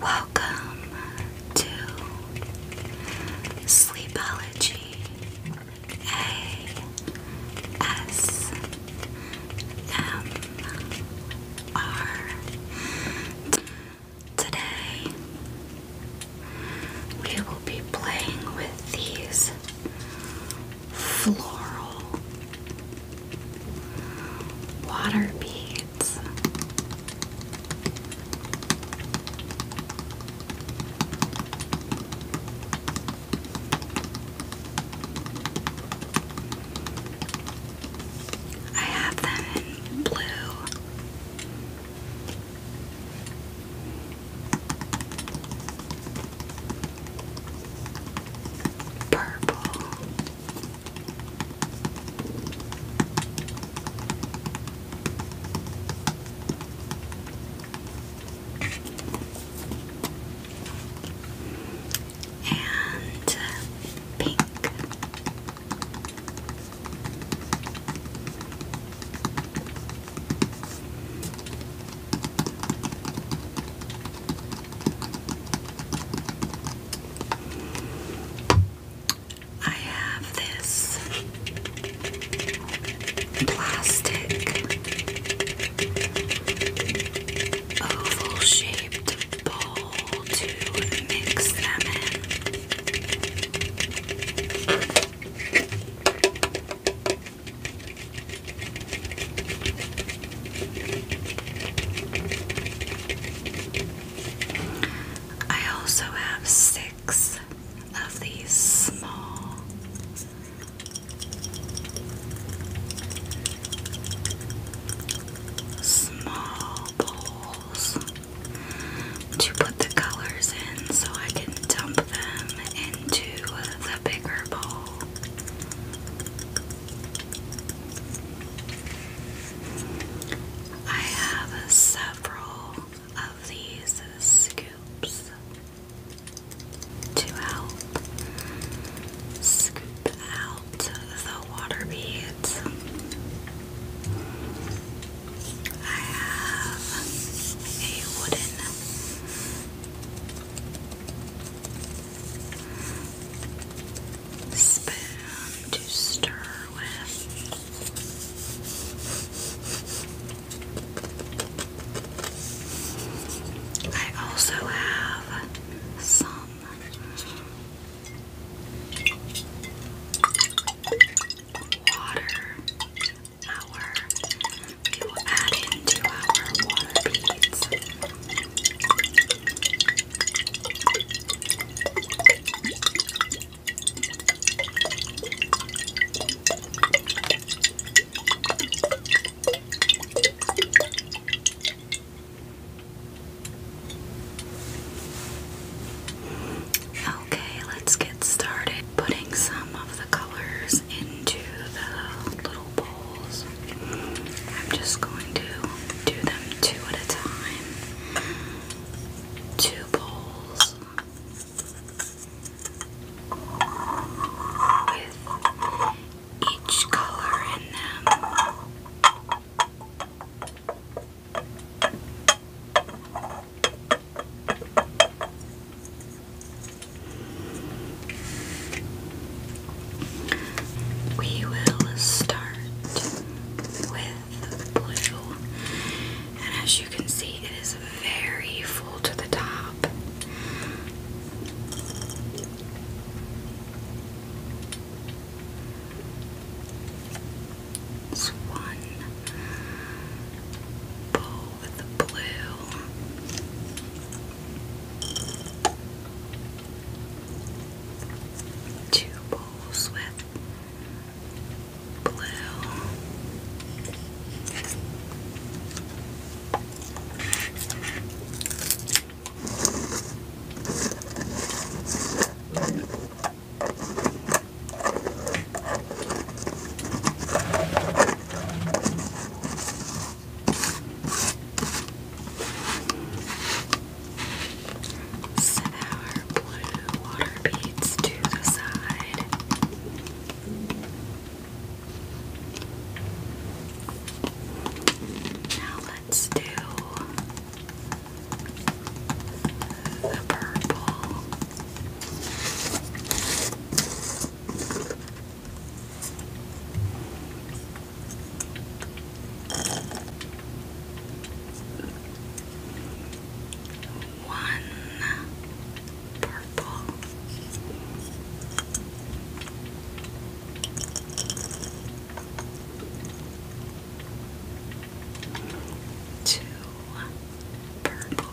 Welcome to Sleepology ASMR. Today we will be playing with these floral water beads. I have them in blue. Purple and uh, pink. I have this plastic oval shaped bowl to mix them in. I also have six of these small small bowls to put the colors in so I can dump them into the bigger bowl. I have several of these scoops to help scoop out the water beads. I have a wooden spoon to stir with. I also have some water. Our we add into our water beads. Okay, let's get started putting some of the colors into the little bowls. I'm just going to do them two at a time. Two bowls with each color in them. We will start with blue, and as you can see, it is very full to the top. one bowl with the blue two bowls with blue. Set our blue water beads to the side. Now let's do the purple. One purple. Two purple.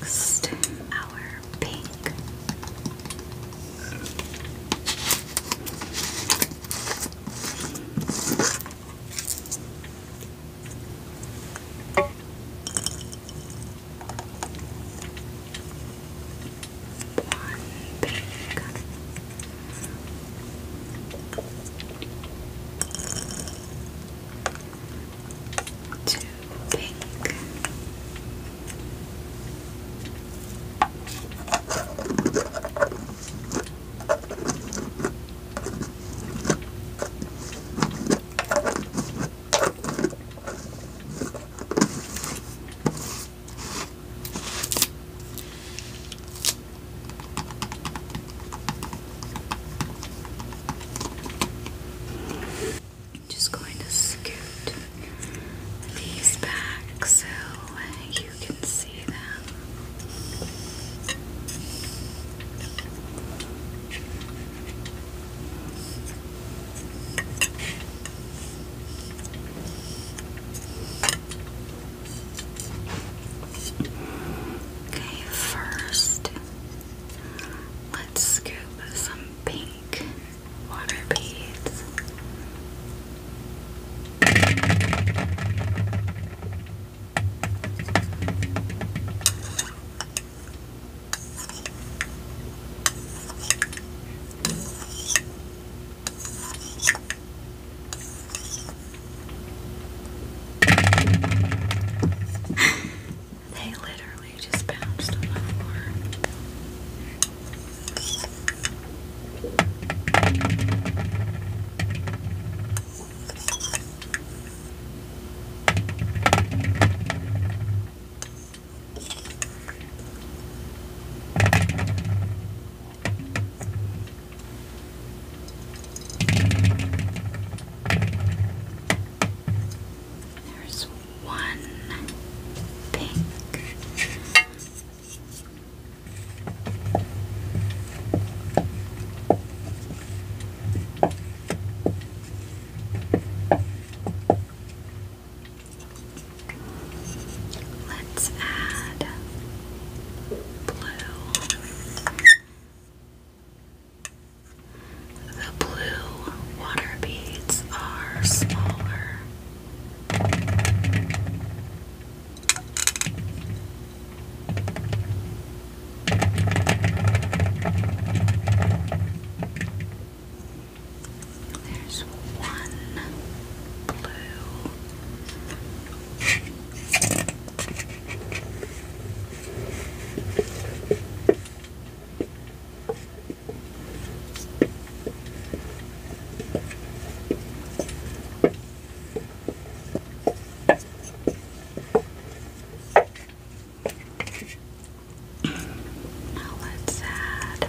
our pink. One pink to pink. I'm just going to scoot these back so you can see them. Okay, first, let's scoop some pink water beads. They literally just bounced on the floor. There's one pink. Let's add blue. The blue water beads are smaller. There's one blue. Now let's add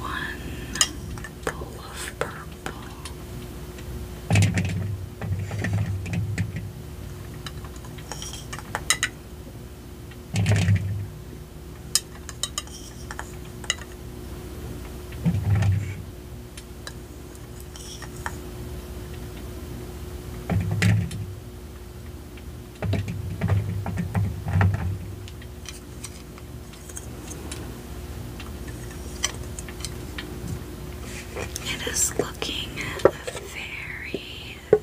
one bowl of purple. It is looking very,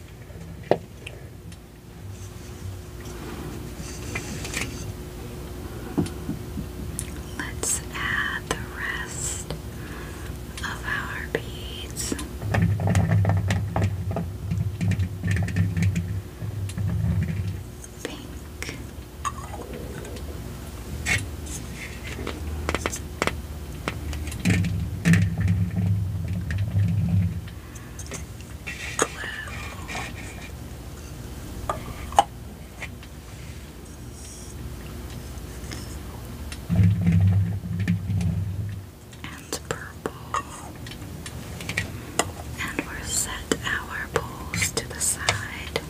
Let's add the rest of our beads. Pink and purple. And we're set our bowls to the side.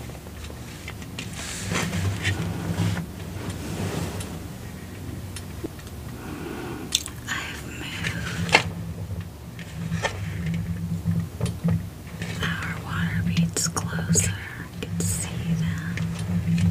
I've moved our water beads closer. I can see them.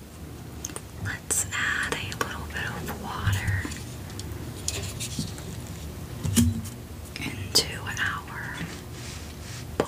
Let's add a little bit of water into our bowl.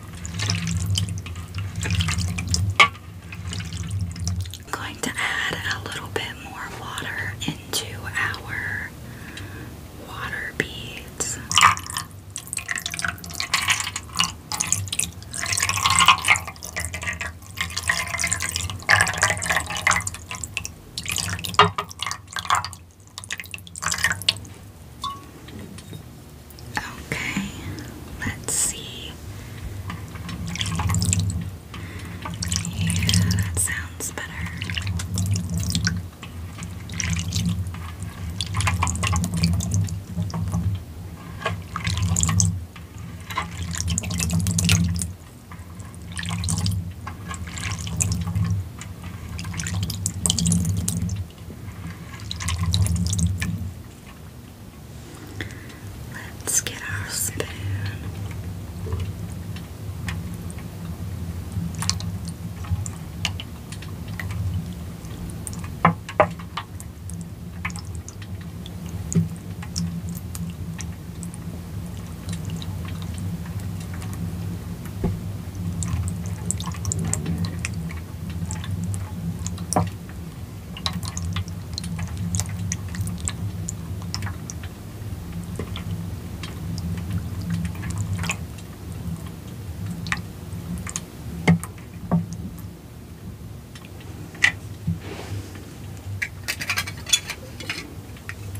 I'm going to add a little bit more water into our water beads. Okay, let's see. Yeah, that sounds better. Let's get our spoon.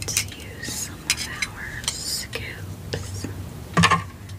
Let's use some of our scoops.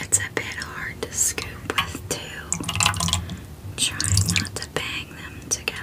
It's a bit hard to scoop with two. Try not to bang them together.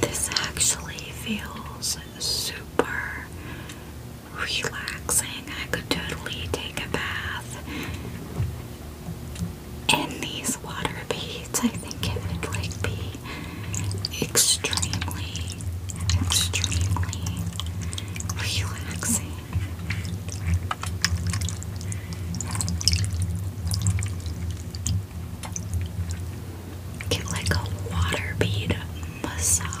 This actually feels super relaxing. I could totally take a bath in these water beads. I think it would like be extremely, extremely relaxing. Get like a water bead massage.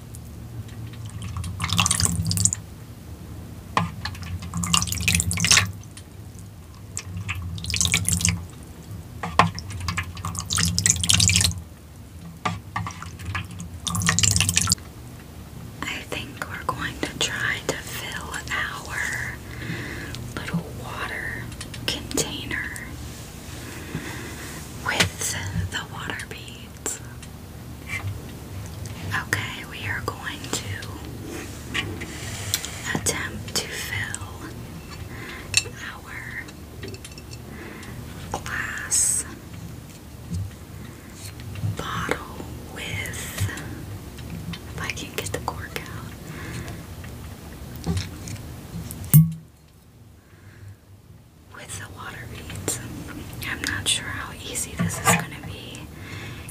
I think we're going to try to fill our little water container with the water beads. Okay, we are going to attempt to fill our glass bottle with, if I can get the cork out with the water beads. I'm not sure how easy this is going to be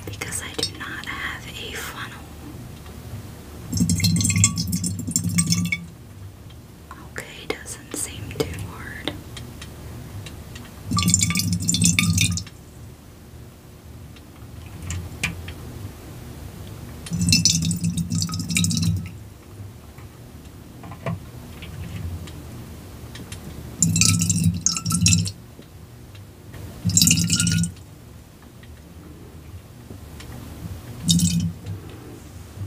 because I do not have a funnel. Okay, doesn't seem too hard.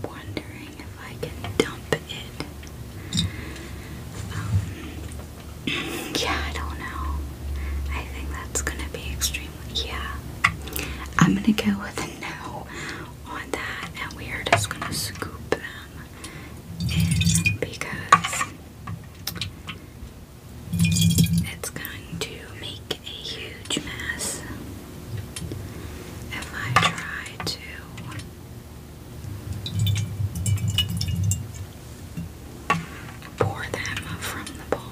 Wondering if I can dump it. Um, yeah, I don't know. I think that's gonna be extremely. Yeah, I'm gonna go with a no on that and we are just gonna scoop them in because it's going to make a huge mess if I try to pour them from the bowl.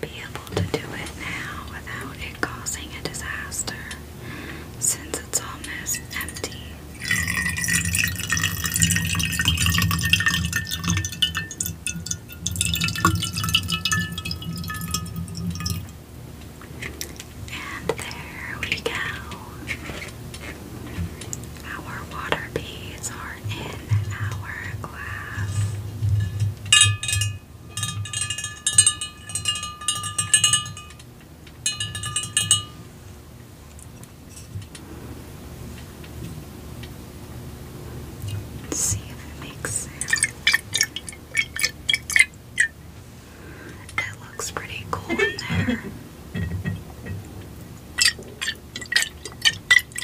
be able to do it now without it causing a disaster since it's almost empty. And there we go. Our water beads are in our glass. Let's see if it makes sound. It looks pretty cool in there.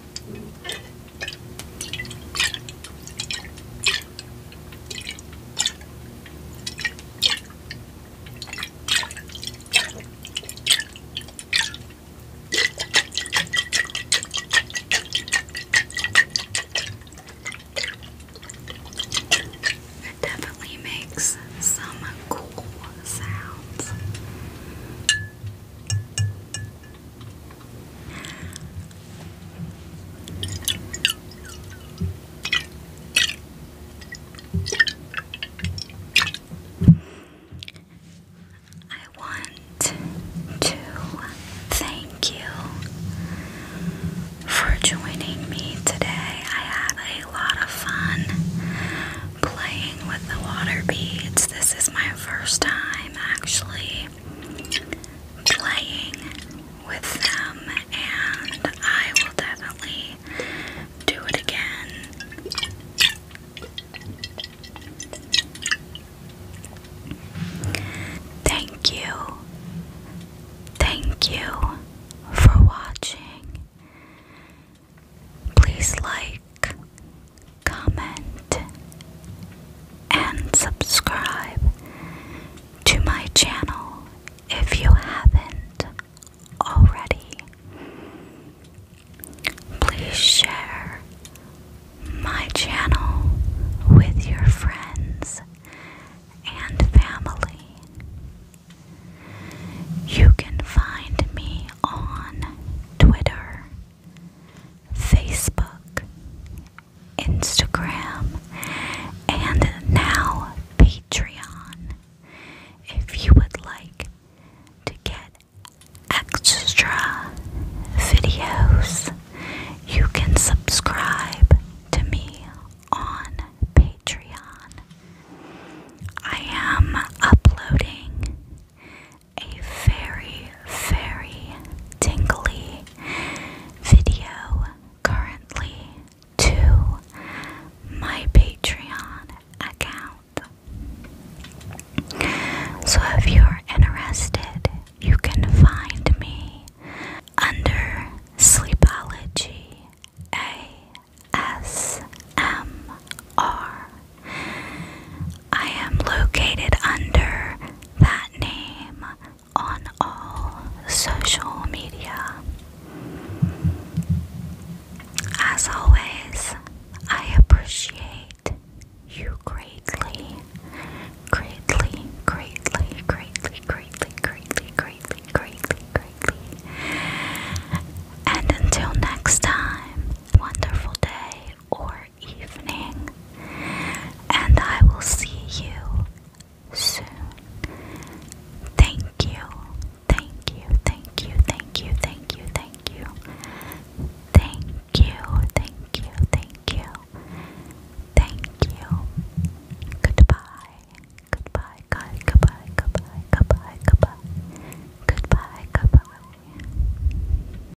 It definitely makes some cool sounds. I want to thank you for joining me today. I had a lot of fun playing with the water beads. This is my first time actually playing with them, and I will definitely do it again. Thank you, thank you for watching. Please like, comment, and subscribe to my channel if you haven't already. Please share my channel with your friends and family. You can find me on Twitter Facebook, Instagram, and now Patreon. If you would like to get extra videos, you can subscribe to me on Patreon. I am uploading a very, very tingly video currently to my Patreon account. So if you're interested, you can find me under Sleepology ASMR. I am located under that name on all social media. As always, I appreciate you greatly, greatly, greatly, greatly, greatly, greatly, greatly, greatly, greatly. And until next time, wonderful day or evening, and I will see you soon. Thank you, thank you, thank you, thank you, thank you, thank you, thank you, thank you, thank you, thank you. Goodbye, goodbye, goodbye, goodbye, goodbye, goodbye, goodbye, goodbye.